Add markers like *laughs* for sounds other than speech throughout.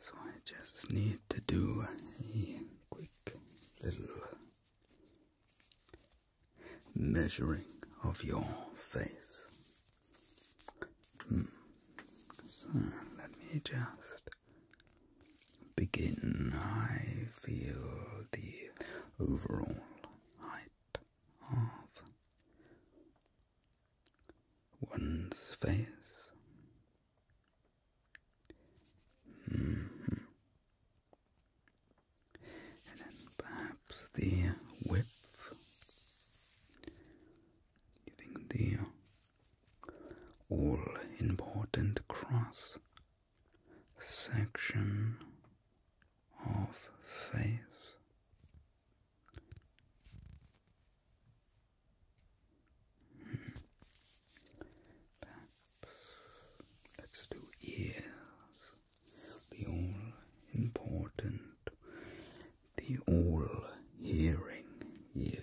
So I just need to do a quick little measuring of your face. Hmm. So let me just begin. I feel the overall height of one's face. Mm-hmm. And then perhaps the width, giving the all important cross section of faith. Perhaps let's do ears, the all important, the all hearing ears.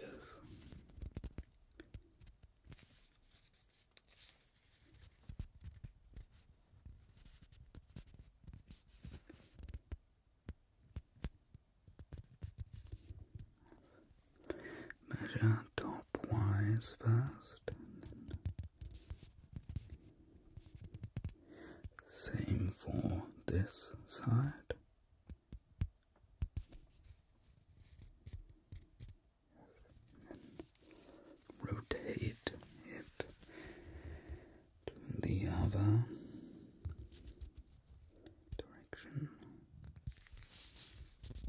Measure top wise first, same for this side. rotate it to the other direction. see.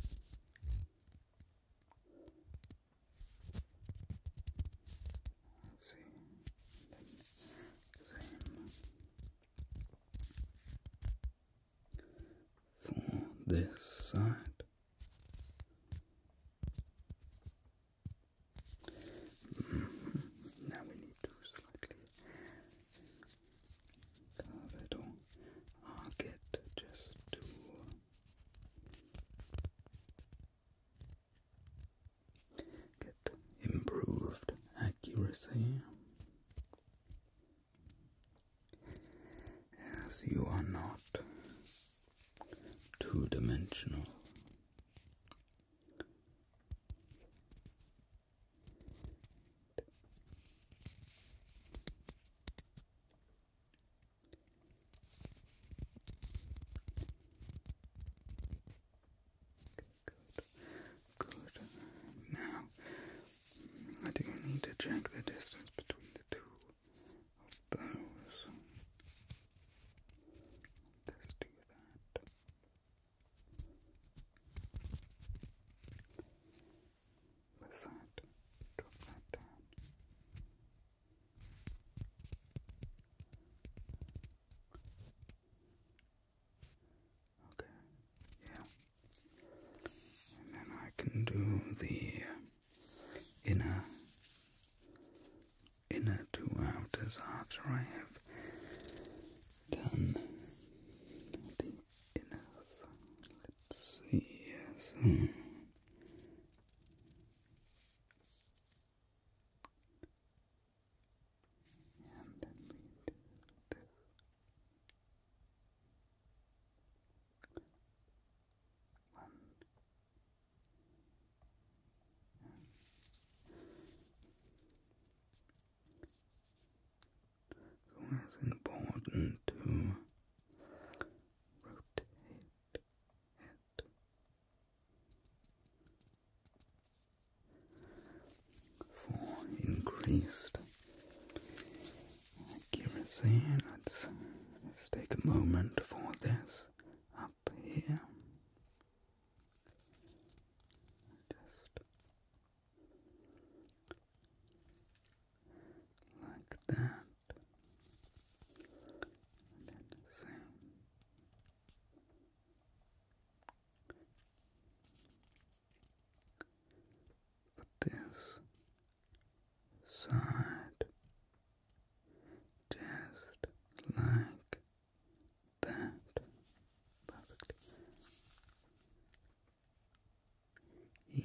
Then same for this side now we need to slightly curve it just to get improved accuracy. As you are not two dimensional, Good. Good. Now, I do need to check the distance between the two of those. Let's do that. With that, drop that down. Okay, yeah. And then I can do the inner inner to outers after I have done the inner. let yes. And then we do this. One, so it's important to rotate it. For increased accuracy, let's take a moment for this up here. Just like that. And then same. But this side just like that perfect. And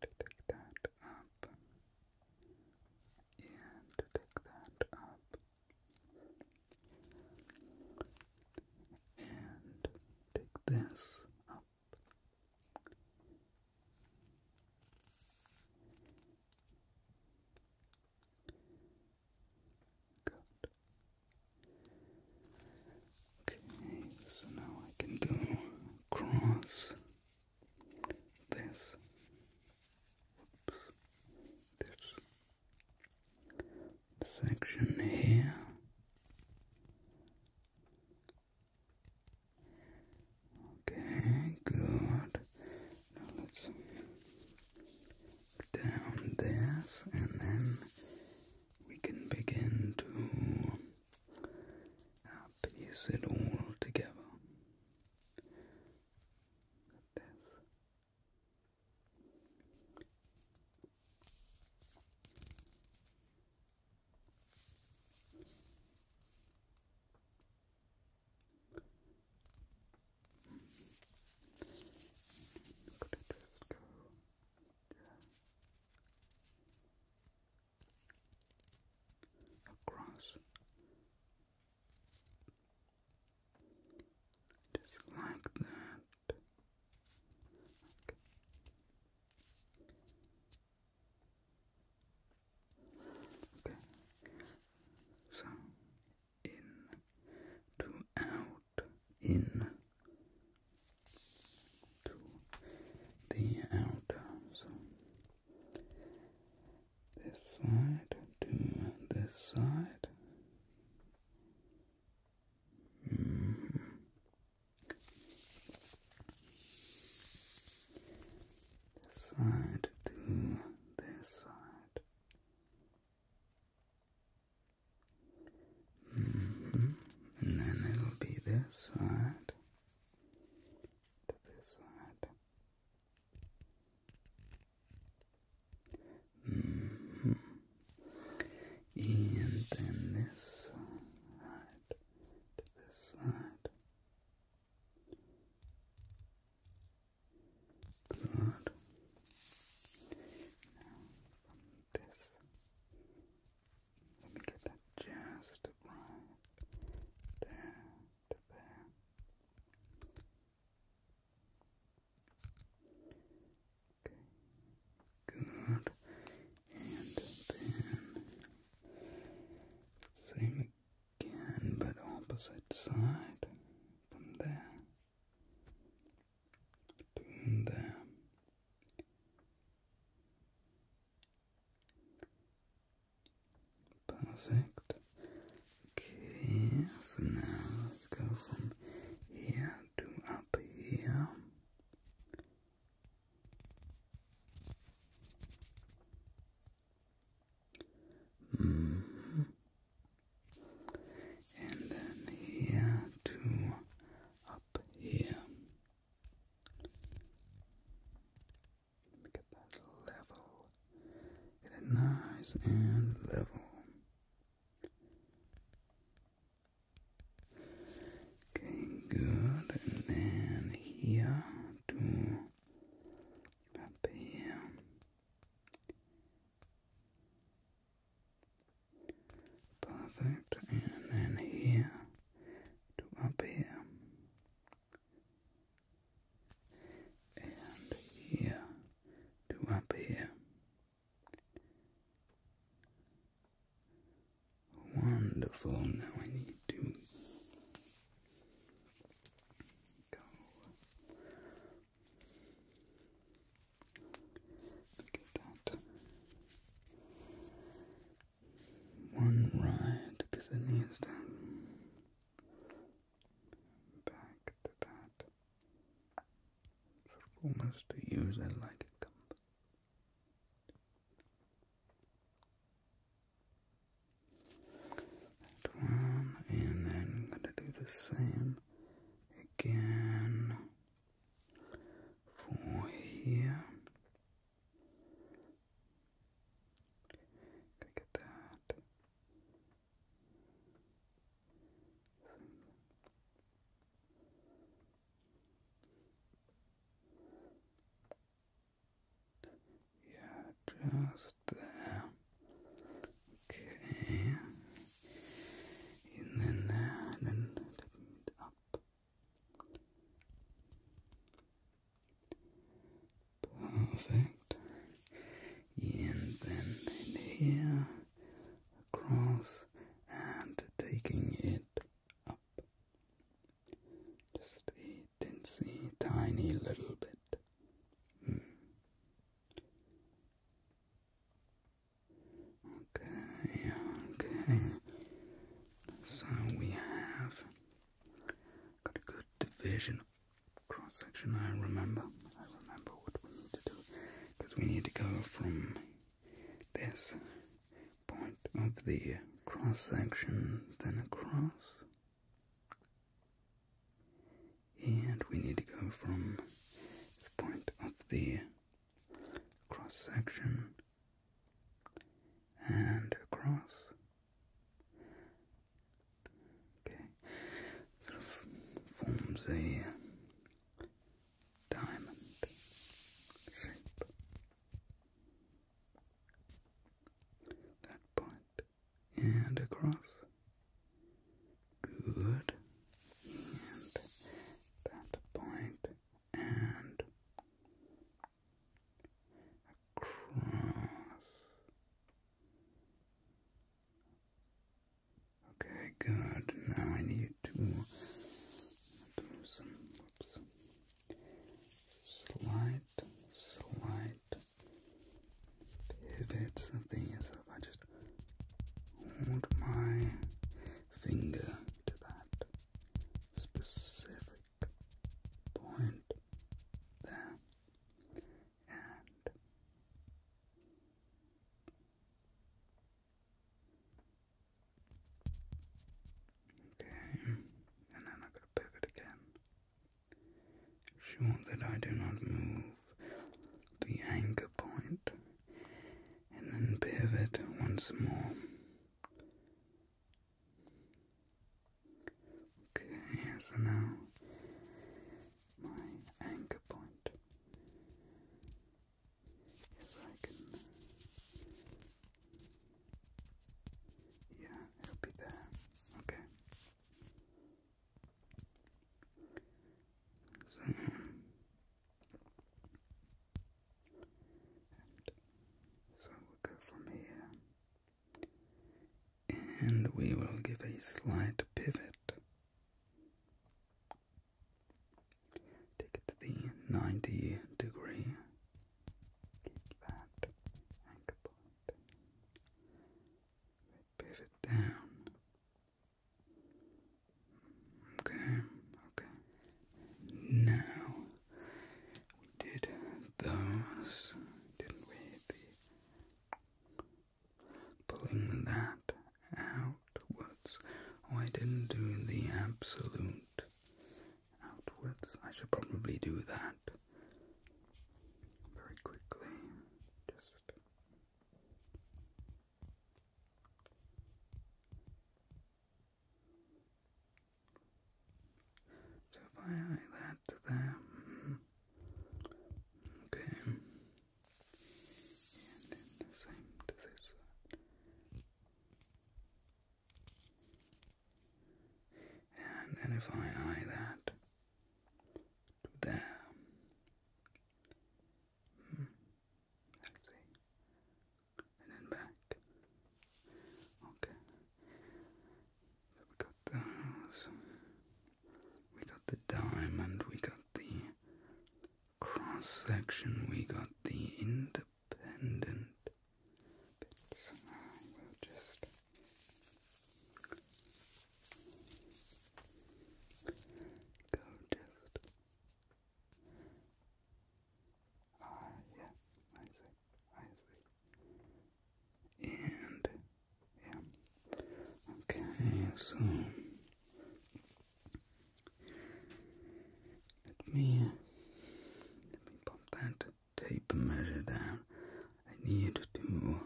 to take that up, and to take that up, and take this up, Okay, so now I can go across this section here Okay, good. Now let's down this and then we can begin to piece it all together. this across just like that. Okay. So in to out in to the outer. So this side to this side. Mm-hmm this side to this side. And then it'll be this side to this side. Mm-hmm. And then this side to this side. Good. Now from this, let me get that just right there there. Okay. Good. And then same again, but opposite side from there to there. Perfect. Okay, so now let's go from here to up here. Mm-hmm. And then here to up here. Get that level. Get it nice and level. Okay, good. And then here to up here. Perfect, and then here to up here, and here to up here. Wonderful, now I need to go. Look at that. One ride because it needs to back to that. almost to use it like a cup. That one, and then I'm going to do the same again for here. Gonna that. Yeah, just there. Okay. And then there, and taking it up. Perfect. And then here, across, and taking it up. Just a teensy tiny little bit. Hmm. Okay, okay. So we have got a good division cross section. I remember, I remember what we need to do because we need to go from this point of the cross section, then across. And we need to go from the point of the cross section and across. Okay, sort forms a diamond shape. That point and across. Good. And that point and across. Okay, good. Now I need to do some slight, slight pivots of these. If I just hold my finger to that specific point there and Okay, and then I'm going to pivot again Sure that I do not move the anchor point and then pivot once more. Okay, so now my anchor point yeah, it'll be there. Okay. So, and we'll go from here. And we will give a slight pivot. Take it to the 90 degree. Keep that anchor pivot down. Okay, okay. Now we did those, didn't we? pulling that outwards. Oh, I didn't do the absolute outwards. I should probably do that very quickly. Just so if I add that okay, and then the same to this and then if I eye that there, hmm. let's see, and then back. Okay, so we got those, we got the diamond, we got the cross section, we got the independent. Bits. just Gorgeous. Ah, yeah, I see, I see. And, yeah. Okay, so, let me, let me pump that tape measure down, I need to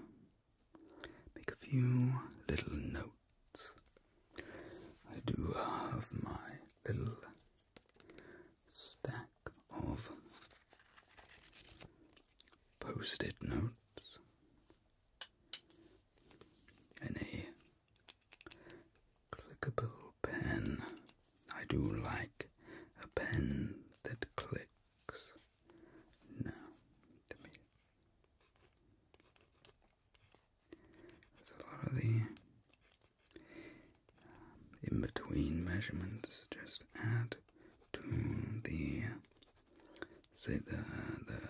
make a few little notes. I do have my little stack of post it notes and a clickable pen. I do like a pen that clicks box There's a lot of the um, in between measurements just add to the say the the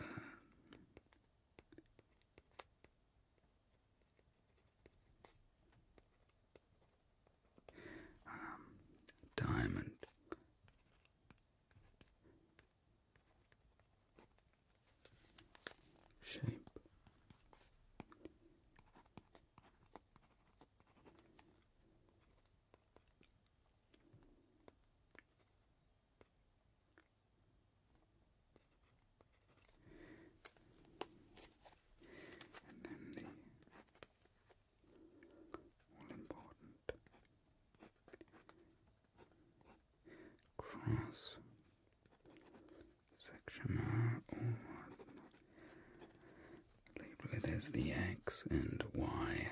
um, diamond. Shape and then the all important. Cross section R or as the X and Y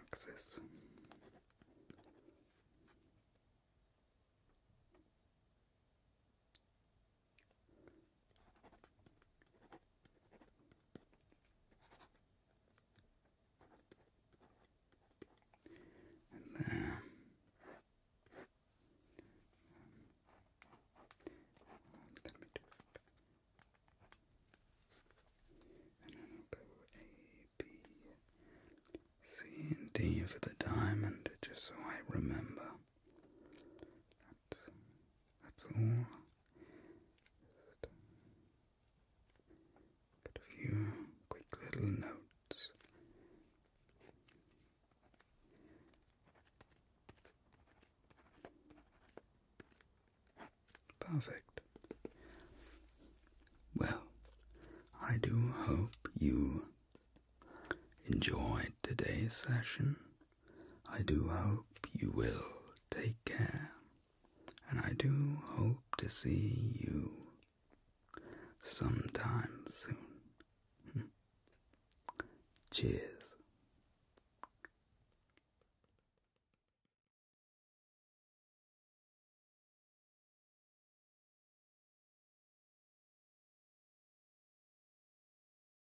axis. And there. let me do it. And then I'll go A, B, C, and D for the diamond, just so I remember that's all. a few quick little notes. Perfect. Well, I do hope you enjoyed today's session. I do hope you will take care, and I do hope to see you sometime soon. *laughs* Cheers.